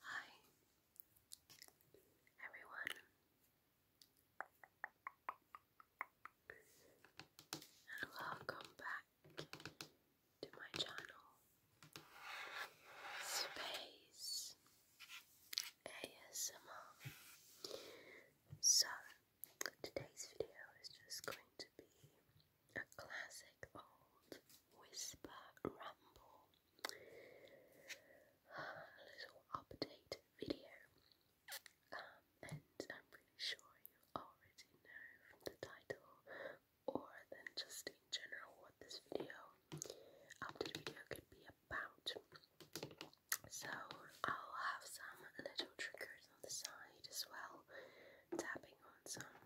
Hi, everyone, and welcome back to my channel, Space ASMR. So, Today's video is just going to be a classic old whisper ramble, a little update video. Um, and I'm pretty sure you already know from the title or then just in general what this video, update video could be about. So I'll have some little triggers on the side as well, tapping on some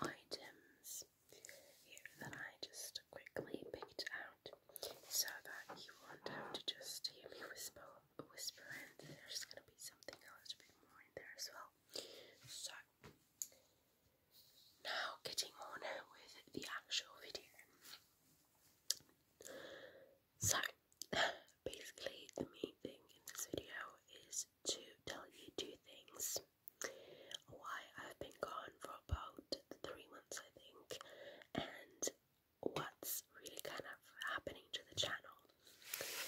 items here that I just quickly picked out so that you won't have to just hear me whisper, whisper and there's going to be something a little bit more in there as well. So, now getting on with the actual video. So, basically, the main thing in this video is to tell you two things. Why I've been gone for about three months, I think, and what's really kind of happening to the channel.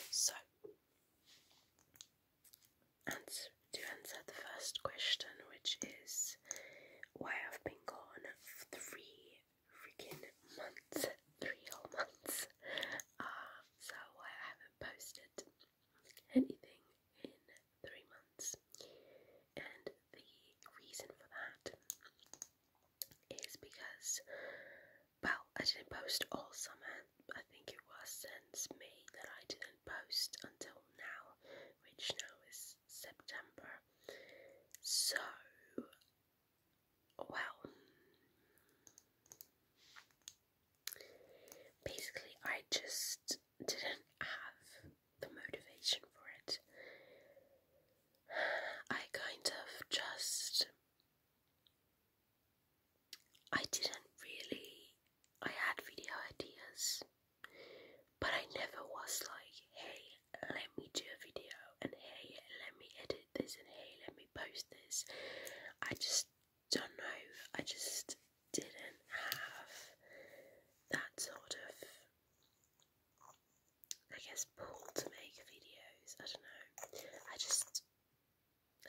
So, and to answer the first question, which is why I've been gone three freaking months, three whole months. Uh, so I haven't posted anything in three months. And the reason for that is because, well, I didn't post all summer. I think it was since May that I didn't post until now, which now is September. So, well, basically, I just didn't have the motivation for it. I kind of just. I didn't really. I had video ideas, but I never was like, hey, let me do a video, and hey, let me edit this, and hey, let me post this. I just don't know, I just didn't have that sort of, I guess, pull to make videos. I don't know. I just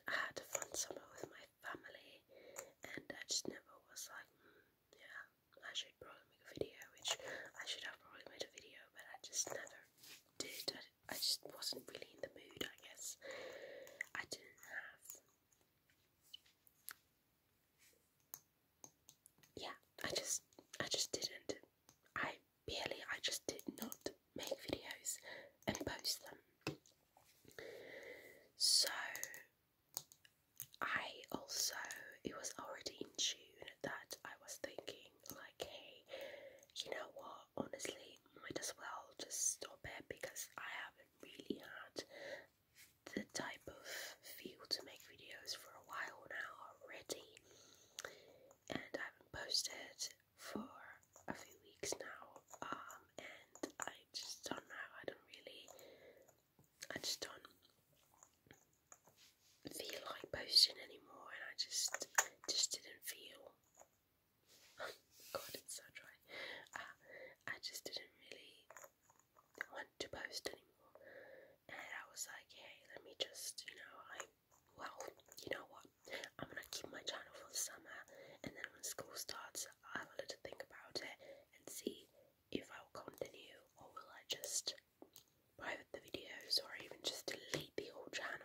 had a fun summer with my family, and I just never was like, hmm, yeah, I should probably make a video, which I should have probably made a video, but I just never did. I, I just wasn't really in the mood, I guess. I didn't have. Yeah, I just, I just didn't. I barely, I just did not make videos and post them. So I also, it was already in June that I was thinking, like, hey, you know what, honestly, might as well just stop it because I haven't really had the type of feel to make videos for a while now already, and I haven't posted for a few weeks now, um, and I just don't know, I don't really I just don't feel like posting anymore, and I just just didn't feel. God, it's so dry. I just didn't really want to post anymore, and I was like, hey, let me just, you know, I well, you know what, I'm gonna keep my channel for the summer, and then when school starts, I'll have a little think about it, and see if I will continue or will I just private the videos or even just delete the whole channel.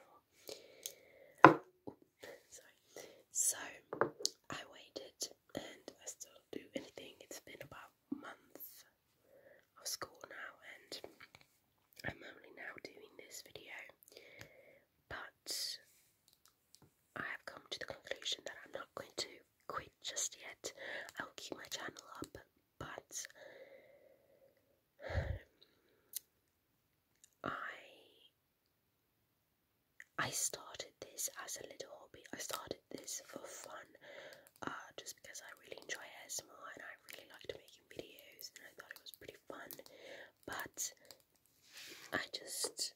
sorry. So I waited and I still don't do anything. It's been about a month of school now and I'm only now doing this video. But I have come to the conclusion that I'm not going to quit just yet. I will keep my channel up, but I I started this as a little hobby. I started this for fun, uh, just because I really enjoy ASMR and I really liked making videos and I thought it was pretty fun. But I just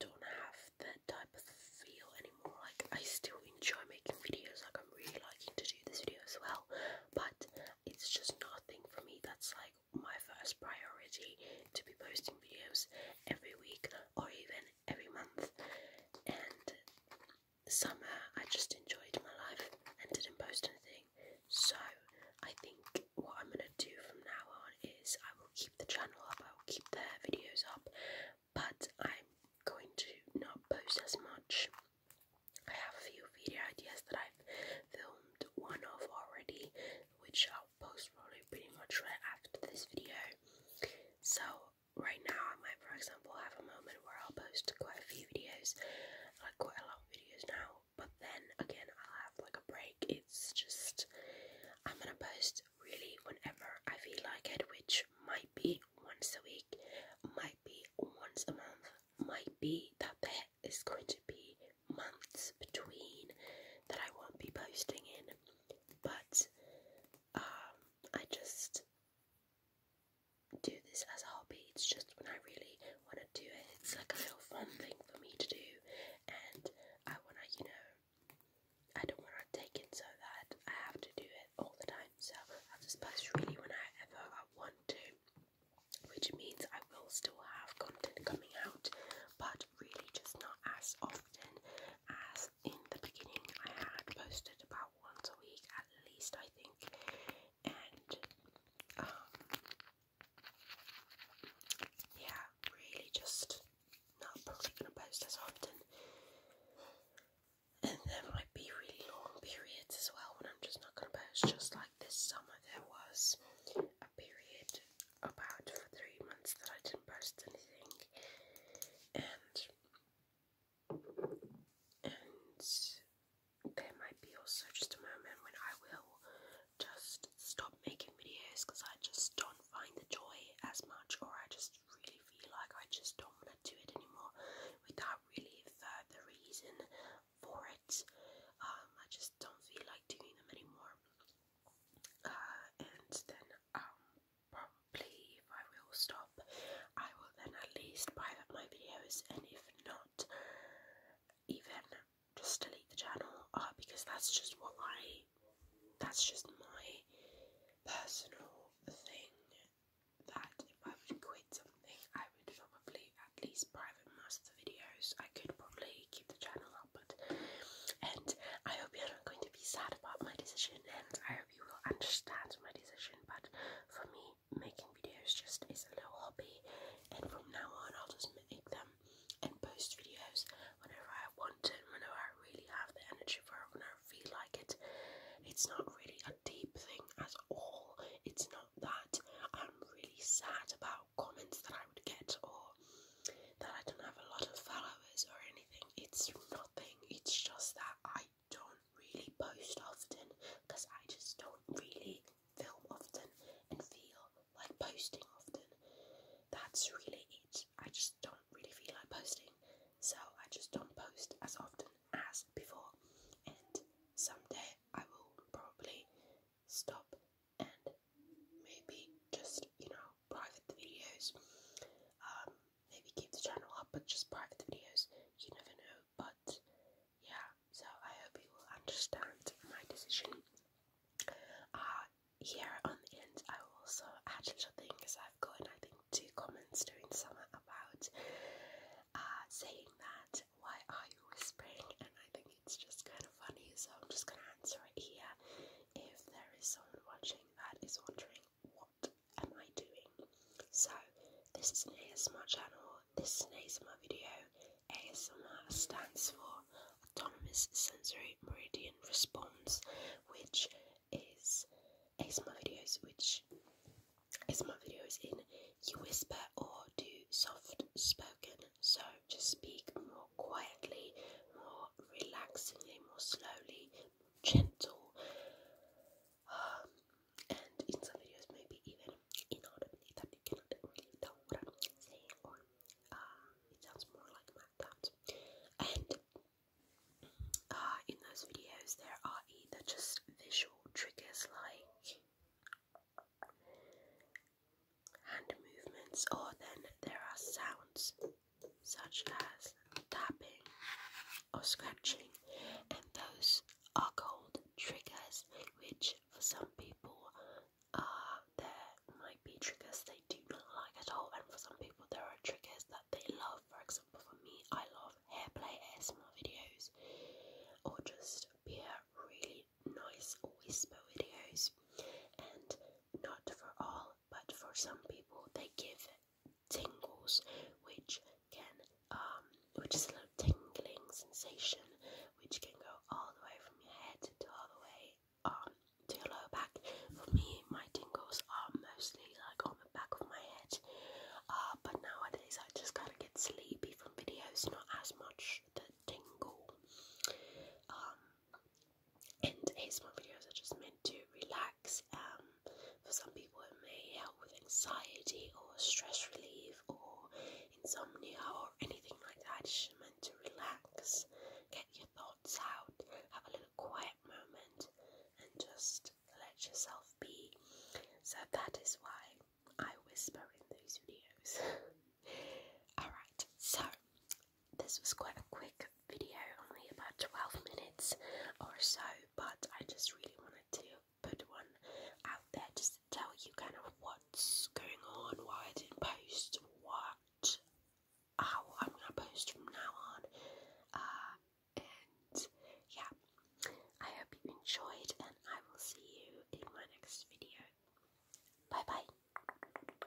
don't have that type of feel anymore. Like, I still enjoy making videos, like, I'm really liking to do this video as well, but it's just nothing for me that's like my first priority to be posting videos every week or even every month. And summer, I just enjoyed my life and didn't post anything. So I think what I'm gonna do from now on is I will keep the channel up, I will keep the videos up, but I'm going to not post as much. I have a few video ideas that I've filmed one of already, which I'll post probably pretty much right after this video. So right now I might for example have a moment where I'll post quite a few videos, like quite a lot of videos now but then again, I'll have like a break. It's just I'm gonna post really whenever I feel like it, which might be once a week, might be once a month, might be that there is going to be months between that I won't be posting in, but um, I just do this as a hobby, it's just when I really want to do it, it's like a little fun thing for me to do, and I want to, you know, I don't want to take it so that I have to do it all the time, so I will just post really when I ever I want to, which means I will still have content coming out, but really just not as often as in the beginning. I had posted about once a week at least, I think, and um, yeah, really just not probably gonna post as often. And there might be really long periods as well when I'm just not gonna post. Just like this summer, there was a period about for three months that I didn't post anything, and and there might be also just a moment when I will just stop making videos because I just don't find the joy as much, or I just really feel like I just don't want to do it anymore without really further reason for it. Um, I just don't feel like doing them anymore. Uh, and then, um, probably if I will stop, I will then at least private my videos, and if not even just delete the channel uh, because that's just what I that's just my personal thing that if I would quit something I would probably at least private most videos. I could probably keep the channel up but and I hope you're not going to be sad about my decision and I hope you will understand my decision but for me making videos just is a little hobby, and from now on, I'll just make them and post videos whenever I want it, whenever I really have the energy for it, whenever I feel like it. It's not really a deep thing at all. It's not that I'm really sad about comments that I would get or that I don't have a lot of followers or anything. It's nothing. It's just that I don't really post often because I just don't really film often and feel like posting often. That's really it. I just don't really feel like posting, so I just don't post as often as before. And someday I will probably stop and maybe just, you know, private the videos. Um, maybe keep the channel up but just private videos. You never know, but yeah. So I hope you will understand my decision. Uh, here on the end, I will also add a little thing because I've got, I think two comments during summer about uh, saying that why are you whispering, and I think it's just kind of funny. So I'm just gonna answer it here. If there is someone watching that is wondering what am I doing. So this is an ASMR channel, this is an ASMR video. ASMR stands for Autonomous Sensory Meridian Response, which is ASMR videos which ASMR videos in you whisper or do soft spoken. So just speak more quietly, more relaxingly, more slowly, gentle and in some videos maybe even inaudibly that you cannot really tell what I'm saying or uh, it sounds more like mouth And uh, in those videos there are either just visual triggers like hand movements or then there are sounds such as tapping or scratching, and those are called triggers, which for some people are there might be triggers they do not like at all, and for some people there are triggers that they love. For example, for me, I love hair play ASMR videos, or just pure really nice whisper videos, and not for all but for some people they give tingles, which can um, which is a little tingling sensation, which can go all the way from your head to all the way um to your lower back. For me, my tingles are mostly like on the back of my head, uh, but nowadays I just kind of get sleepy from videos, not as much the tingle. Um, and these ASMR videos are just meant to relax. Um, for some people, it may help with anxiety or stress relief or insomnia or anything like that. It's just meant to relax, get your thoughts out, have a little quiet moment, and just let yourself be. So that is why I whisper in those videos. Alright, so this was quite a quick video, only about 12 minutes or so, but I just really wanted to put one out there just to tell you kind of what's going on, why I didn't post, what, how I'm gonna post from now on, uh, and yeah, I hope you enjoyed, and I will see you in my next video. Bye bye.